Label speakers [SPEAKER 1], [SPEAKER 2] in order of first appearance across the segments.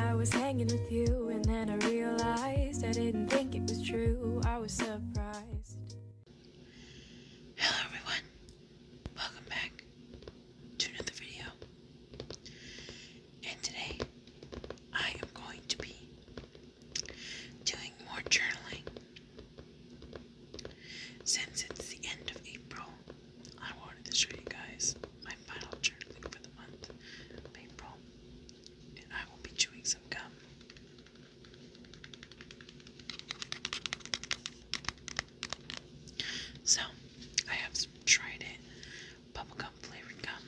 [SPEAKER 1] I was hanging with you, and then I realized I didn't think it was true. I was surprised. Hello, everyone. Welcome back to another video. And today, I am going to be doing more journaling. Since it's the end of April, I wanted to show you guys my final journaling for the month April. And I will be chewing some gum. So, I have some Trident bubblegum flavored gum.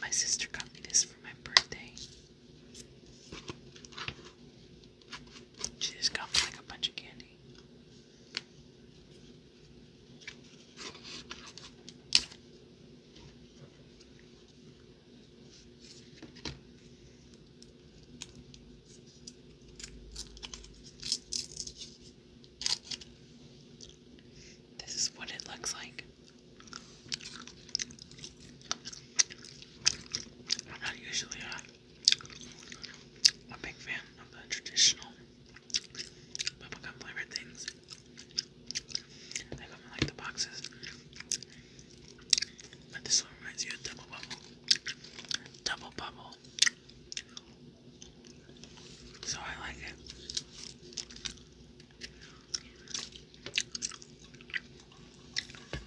[SPEAKER 1] My sister got me this for my birthday. She just got me like a bunch of candy. This is what it looks like. not usually a big fan of the traditional bubblegum flavored things. I got like the boxes. But this one reminds you of double bubble. Double bubble. So I like it.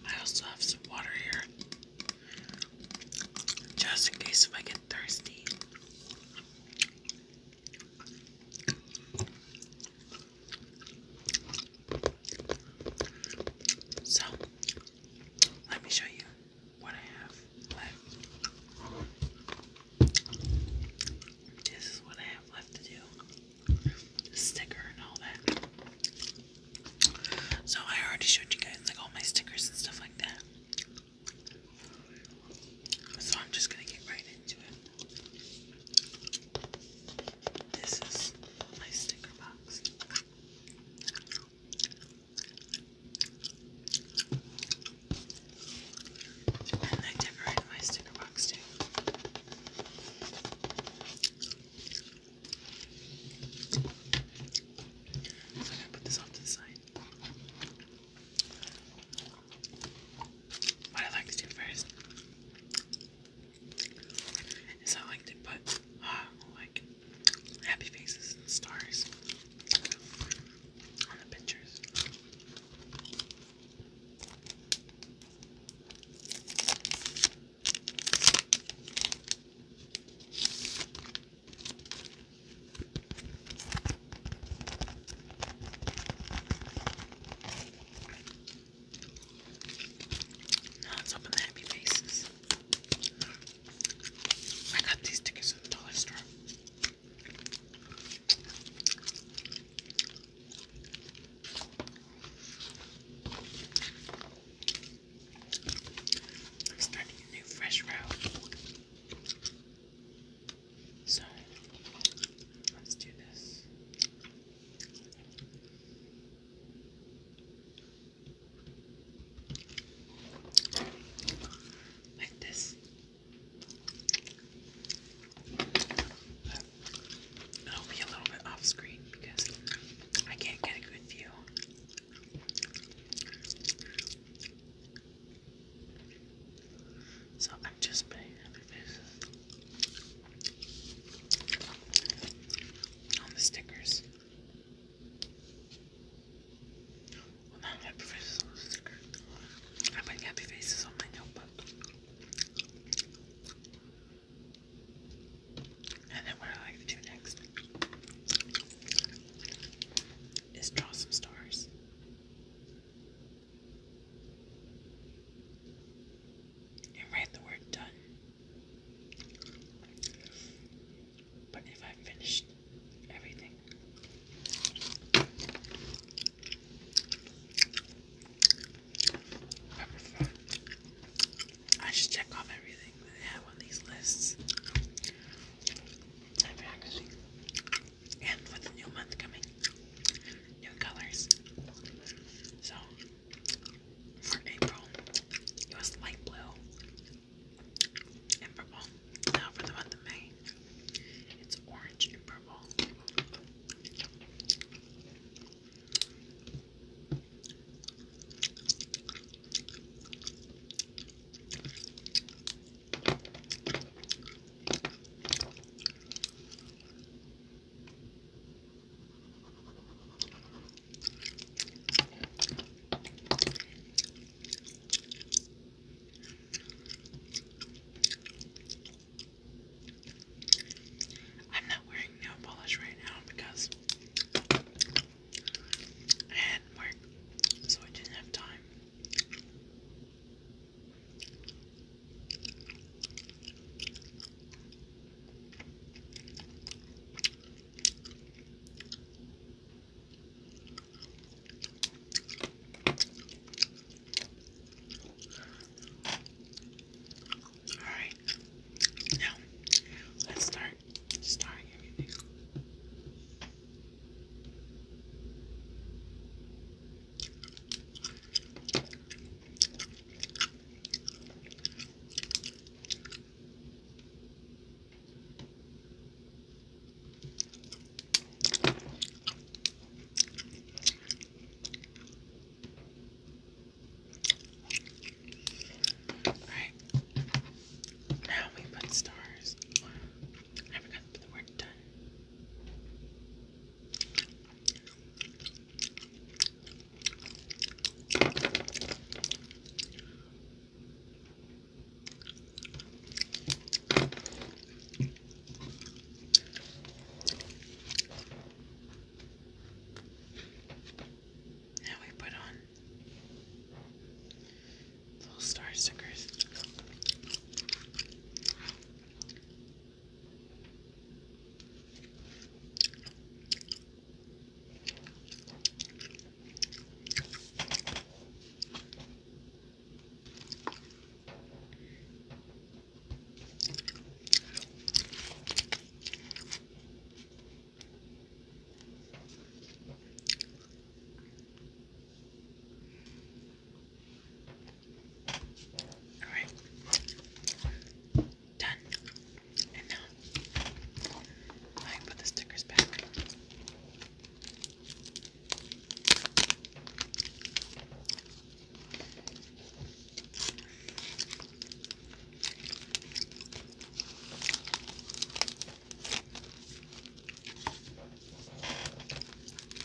[SPEAKER 1] I also have some water here. Just in case if I get thirsty. So, let me show you what I have left. This is what I have left to do. sticker and all that. So I already showed you guys like all my stickers and stuff like that. So I'm just gonna get right into it. This is my sticker box. And I decorated my sticker box too. So I'm gonna put this off to the side. What I like to do first is I like to put uh, like happy faces and stars on the pictures. Now it's up the happy faces. I got these tickets in the dollar store. starting a new fresh route. So let's do this. Like this. It'll be a little bit off screen because I can't get a good view. So I'm just putting other faces on the stickers. Well, not happy faces sticker. I put happy faces on my notebook. And then what I like to do next is draw some stars write the word done. But if I finished everything, I just check off everything that I have on these lists. I'm practicing. And with the new month coming, new colors. So for April, it was light blue and purple. Now for the month of May, it's orange and purple. I'm not wearing nail polish right now because I had work, so I didn't have time. All right, now let's start starting everything. Alright. Now we put stars. I forgot to put the word done. Now we put on Little star stickers. Alright. Done. now I put the stickers back.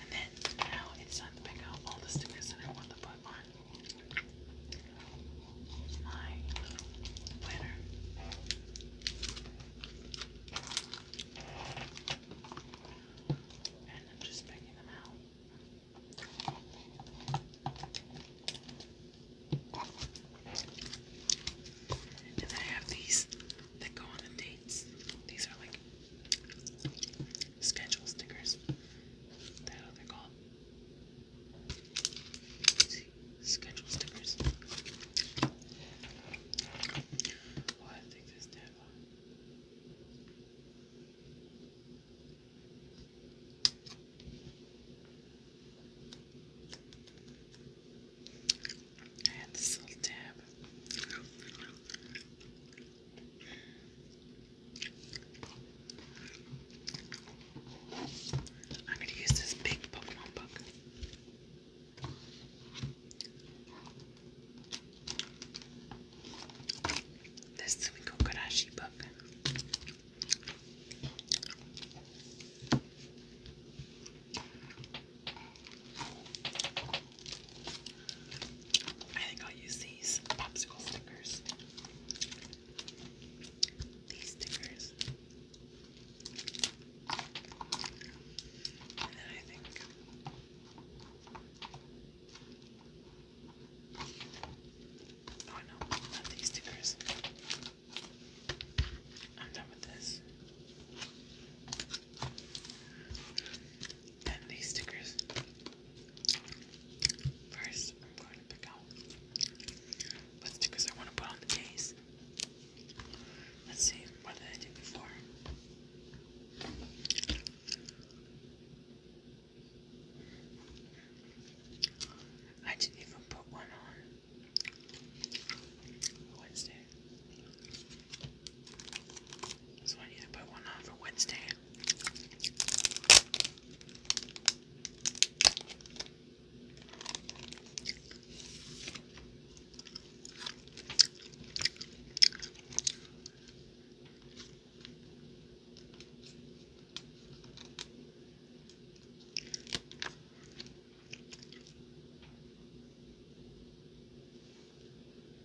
[SPEAKER 1] And then now it's time to pick out all the stickers that I want to put on my planner. And I'm just picking them out. And I have these that go on the dates. These are like schedule stickers. That how they're called. schedule stickers. Well, I this tab on. tab. I'm going to use this big Pokemon book. This Suiko Kurashi book. I think I'll use these popsicle stickers. These stickers. Oh no, not these stickers. I'm done with this and these stickers. First, I'm going to pick out what stickers I want to put on the case. Let's see, what did I do before? I didn't even put one on Wednesday. So I need to put one on for Wednesday.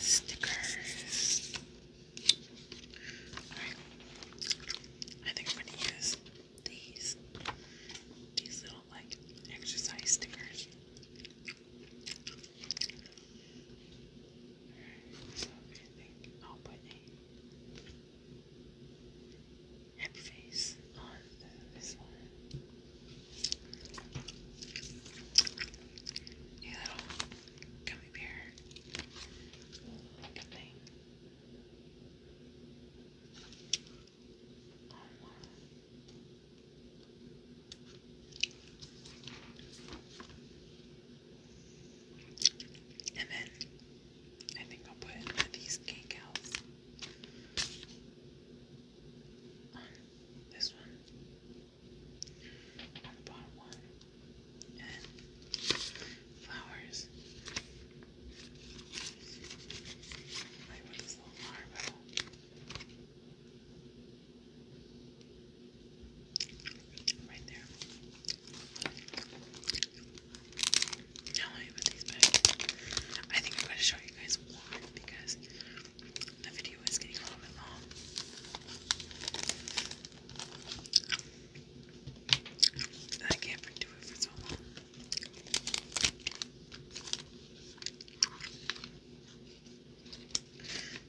[SPEAKER 1] Stickers. I think I'm going to use these these little like exercise stickers. so if you think i put a happy face on this one. A little gummy bear looking thing. And then I think I'll put these cake on this one, on the bottom one, and flowers. Right there. Now let me these back. I think I'm going to show you guys one because the video is getting a little bit long. I can't do it for so long.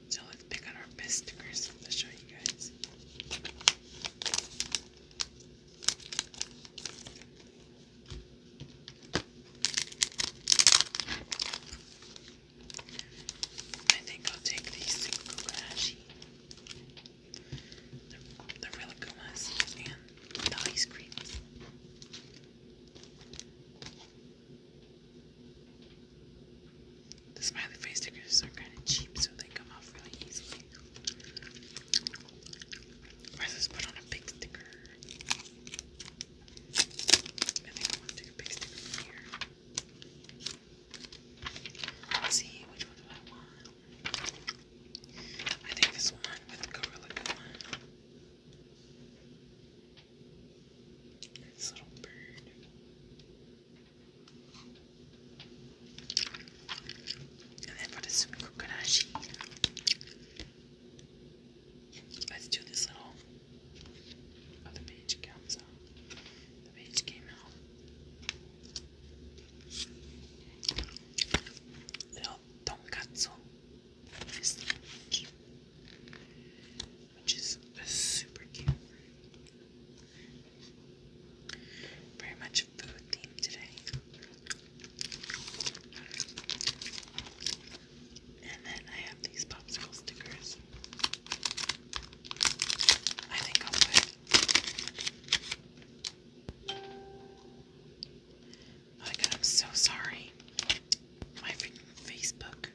[SPEAKER 1] So let's pick out our best stickers to show you guys. I think I'll take these two the, the relic and the ice creams. The smiley face stickers are kind of cheap, so they come off really easily. Versus put on a big sticker. see, which one do I want? I think this one. This little bird. And then put some kokonashi. Let's do this little. Oh, the page comes out. The page came out. Little tonkatsu this lounge, which is super cute. Very much food themed today. And then I have these popsicle stickers. I think I'll put Oh my god, I'm so sorry. My freaking Facebook.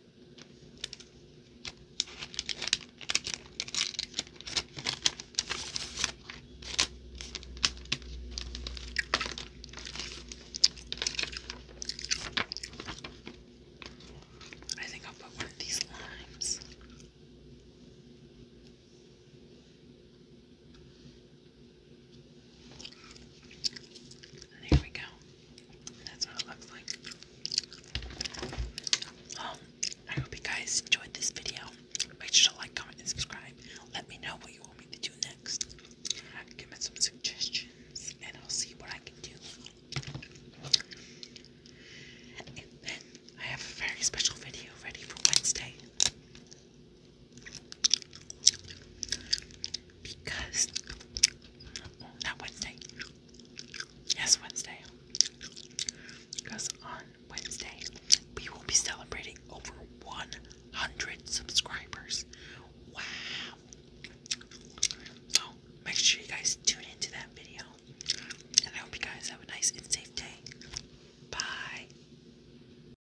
[SPEAKER 1] I think I'll put one of these limes. There we go. That's what it looks like. Um, I hope you guys enjoyed this video. Make sure to like, comment, and subscribe. Let me know what you want me to do next. Give me some suggestions, and I'll see what I can do. And then I have a very special video ready for Wednesday. Because not Wednesday. Yes, Wednesday. Because on Wednesday we will be celebrating over 100 subscribers. Wow. So make sure you guys tune into that video. And I hope you guys have a nice and safe day. Bye.